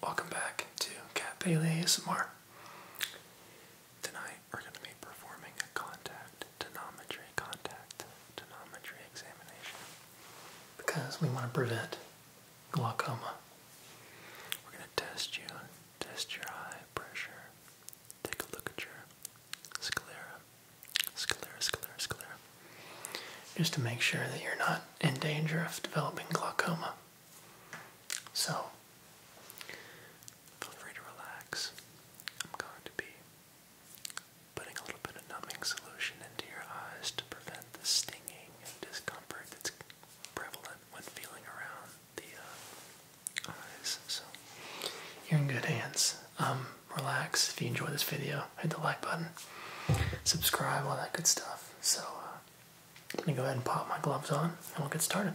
Welcome back to Cat Bailey ASMR. Tonight we're going to be performing a contact tonometry contact tonometry examination because we want to prevent glaucoma. We're going to test you, test your eye pressure, take a look at your sclera, sclera, sclera, sclera, just to make sure that you're not in danger of developing glaucoma. So, feel free to relax. I'm going to be putting a little bit of numbing solution into your eyes to prevent the stinging and discomfort that's prevalent when feeling around the uh, eyes. So, you're in good hands. Um, relax. If you enjoy this video, hit the like button, subscribe, all that good stuff. So, uh, let me go ahead and pop my gloves on and we'll get started.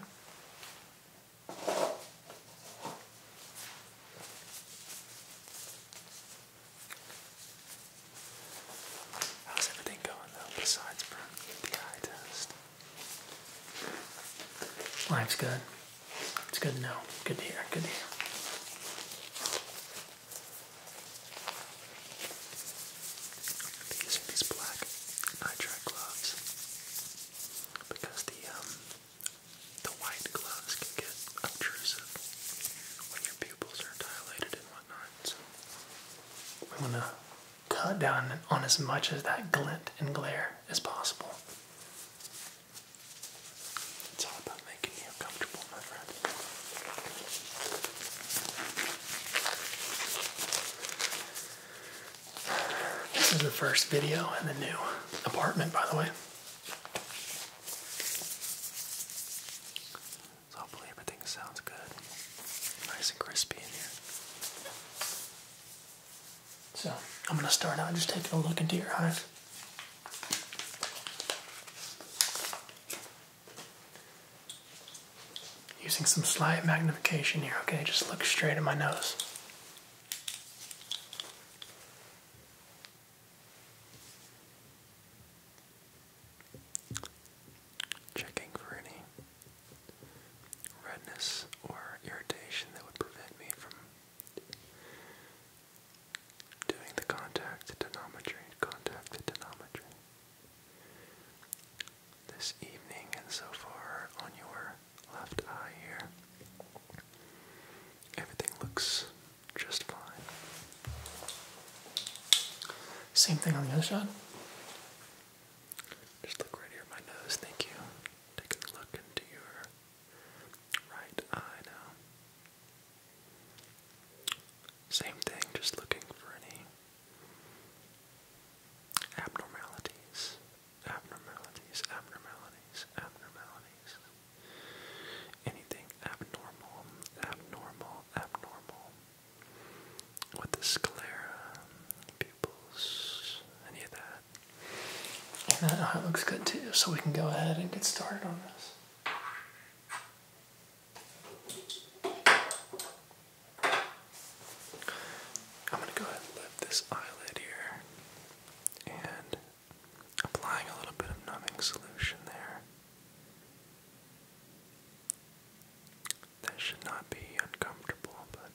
How's everything going though besides from the eye test? Life's good. It's good to know. Good to hear. Good to hear. I'm using these black nitrile gloves because the um, the white gloves can get obtrusive when your pupils are dilated and whatnot. So we want to cut down on as much as that glint and glare as possible. It's all about making you comfortable, my friend. This is the first video in the new apartment, by the way. hopefully everything sounds good. Nice and crispy in here. So I'm gonna start out just taking a look into your eyes. Using some slight magnification here, okay? Just look straight at my nose. Checking for any redness or irritation that would prevent me from doing the contact denometry, contact denometry this evening and so far on your left eye here. Everything looks just fine. Same thing on the other side. Just look right here my nose, thank you. Take a look into your right eye now. Same thing, just looking for any Abnormalities, abnormalities, abnormalities, abnormalities. Anything abnormal, abnormal, abnormal. With the sclera, pupils, any of that. that looks good too, so we can go ahead and get started on this. I'm going to go ahead and lift this eyelid here and applying a little bit of numbing solution there. That should not be uncomfortable, but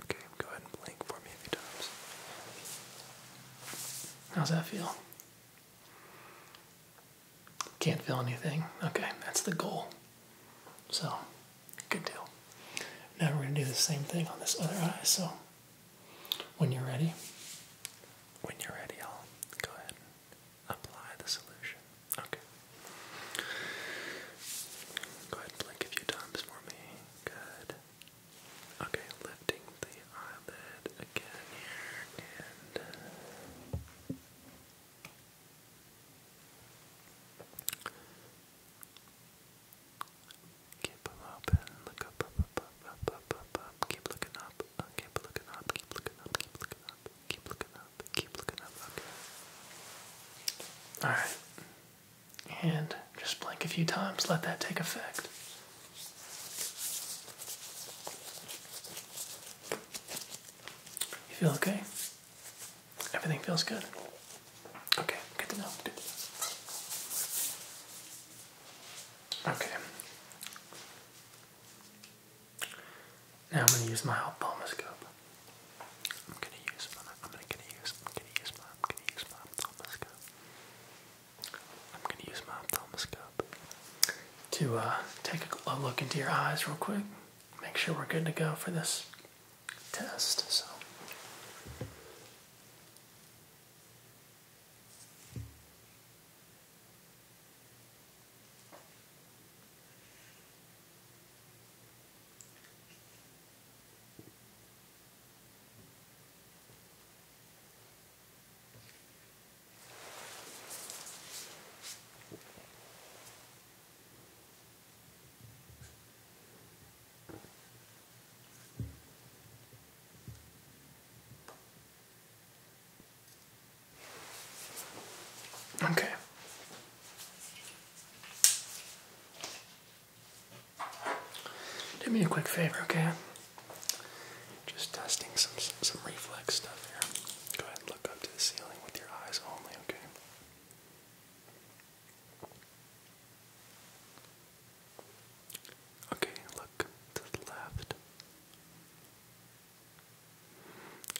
okay, go ahead and blink for me a few times. How's that feel? Can't feel anything. Okay, that's the goal. So, good deal. Now we're going to do the same thing on this other eye. So, when you're ready, when you're ready, I'll go ahead and apply the solution. Okay. Go ahead blink a few times for me. Good. Okay, lifting the eyelid again here and Keep them up, up, up, up, uh, Keep looking up. keep looking up. Keep looking up. Keep looking up. Keep looking up. Keep looking up. All right. And just blink a few times, let that take effect. You feel okay? Everything feels good. Okay, good to know. Good to Okay. Now I'm gonna use my ophthalmoscope. I'm gonna use my I'm gonna, gonna use I'm gonna use my I'm gonna use my ophthalmoscope. I'm gonna use my ophthalmoscope to uh, take a look into your eyes real quick make sure we're good to go for this test. So. Okay. Do me a quick favor, okay? Just testing some some reflex stuff here. Go ahead and look up to the ceiling with your eyes only, okay? Okay, look to the left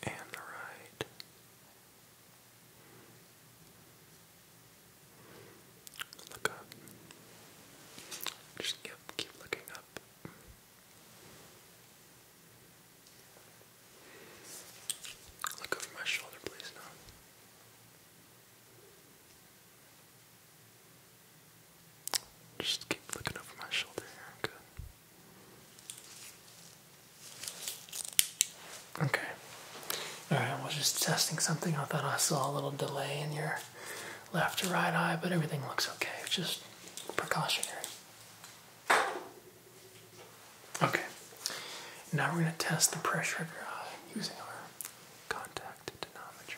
and the right. Look up. Just keep, keep looking up. Look over my shoulder, please, now. Just keep looking over my shoulder here. Good. Okay. Alright, I was just testing something. I thought I saw a little delay in your left or right eye, but everything looks okay. just precautionary. Okay, now we're going to test the pressure of your eye using our contact denometry.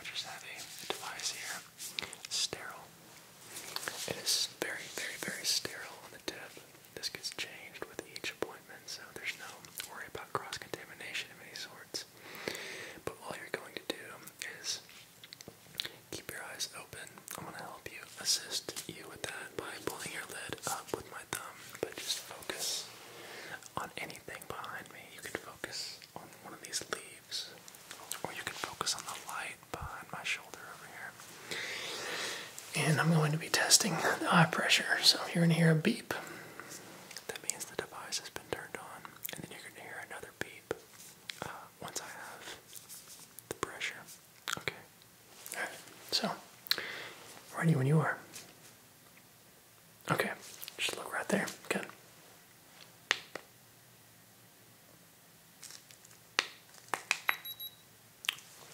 I just have a device here, sterile. It is very, very, very sterile on the tip. This gets changed with each appointment, so there's no worry about cross contamination of any sorts. But all you're going to do is Keep your eyes open. I'm gonna help you assist you with that by pulling your lid up with my thumb, but just focus on anything behind me. You can focus on one of these leaves, or you can focus on the light behind my shoulder over here. And I'm going to be testing the eye pressure, so you're gonna hear a beep. That means the device has been turned on, and then you're gonna hear another beep uh, once I have the pressure. Okay. All right. So, ready when you are. Okay. Just look right there. Good.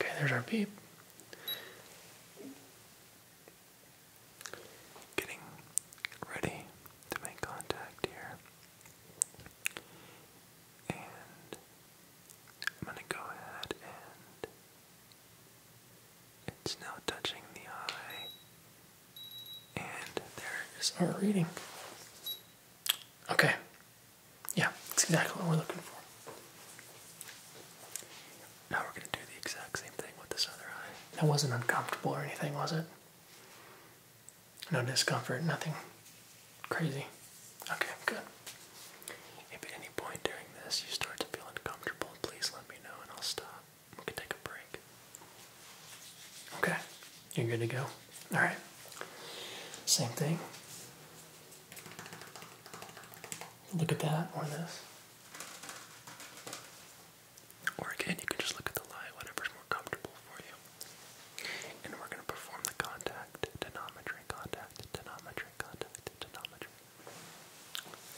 Okay, there's our beep. Getting ready to make contact here. And I'm going to go ahead and it's now touching the eye. And there is our reading. Okay. Yeah, that's exactly what we're looking for. Now we're going to do the exact same thing with this other eye. That wasn't uncomfortable or anything, was it? No discomfort, nothing crazy. Okay, good. If at any point during this you start to feel uncomfortable, please let me know and I'll stop. We can take a break. Okay, you're good to go. Alright, same thing. Look at that or this. Or again, you can just look at the light, whatever's more comfortable for you. And we're going to perform the contact, denometry, contact, denometry, contact, denometry.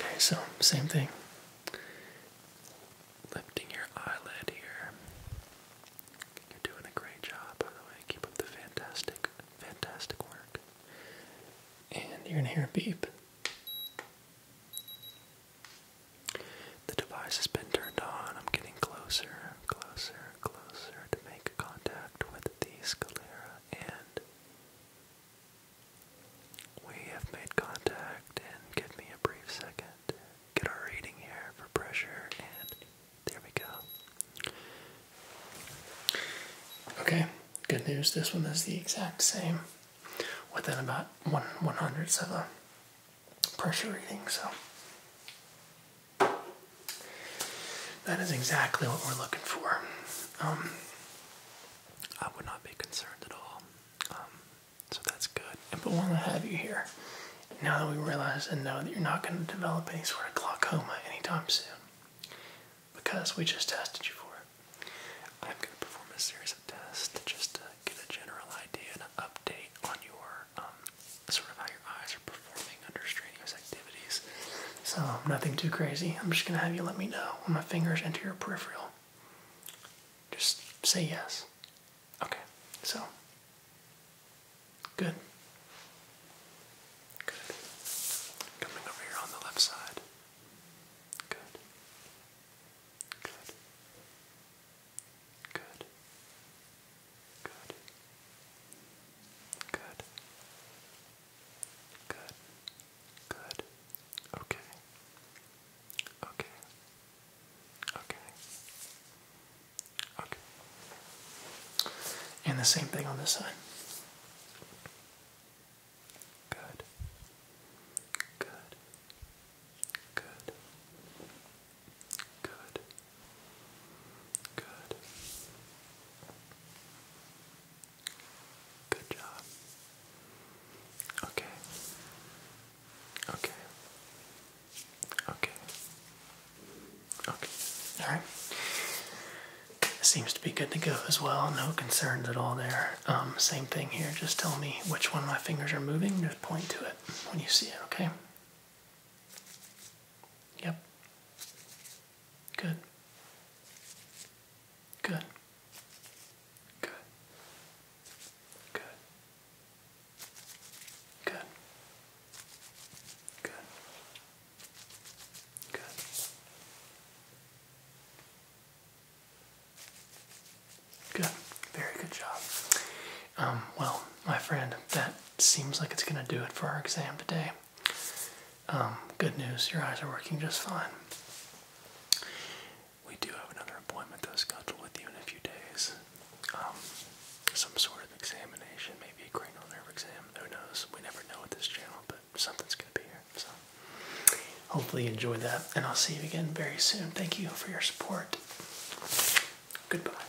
Okay, so same thing. Lifting your eyelid here. You're doing a great job, by the way. Keep up the fantastic, fantastic work. And you're going to hear a beep. The device has been turned on. I'm getting closer, closer, closer to make contact with the sclera, and we have made contact. And give me a brief second. Get our reading here for pressure, and there we go. Okay, good news. This one is the exact same, within about one one of a pressure reading. So that is exactly what we're looking for. Um, I would not be concerned at all. Um, so that's good. But while I have you here, now that we realize and know that you're not going to develop any sort of glaucoma anytime soon, because we just tested you for it, I'm going to perform a series of tests just to get a general idea and an update on your um, sort of how your eyes are performing under strenuous activities. So nothing too crazy. I'm just gonna have you let me know when my fingers enter your peripheral. Just say yes. Okay. So good. Good. Coming over here on the left side. Good. Good. Good. Good. Good. Good. Good. Okay. Okay. Okay. Okay. And the same thing on this side. Good. Good. Good. Good. Good. Good job. Okay. Okay. Okay. Okay. Alright. Seems to be good to go as well. No concerns at all there. Um, same thing here. Just tell me which one my fingers are moving. Just point to it when you see it, okay? Yep. Good. Good. Good. Good. Good. Good. Good. Very good job. Um, well, my friend, that seems like it's going to do it for our exam today. Um, good news, your eyes are working just fine. We do have another appointment that's scheduled with you in a few days. Um, some sort of examination, maybe a cranial nerve exam, who knows? We never know what this channel, but something's going to be here. So, hopefully, you enjoyed that, and I'll see you again very soon. Thank you for your support. Goodbye.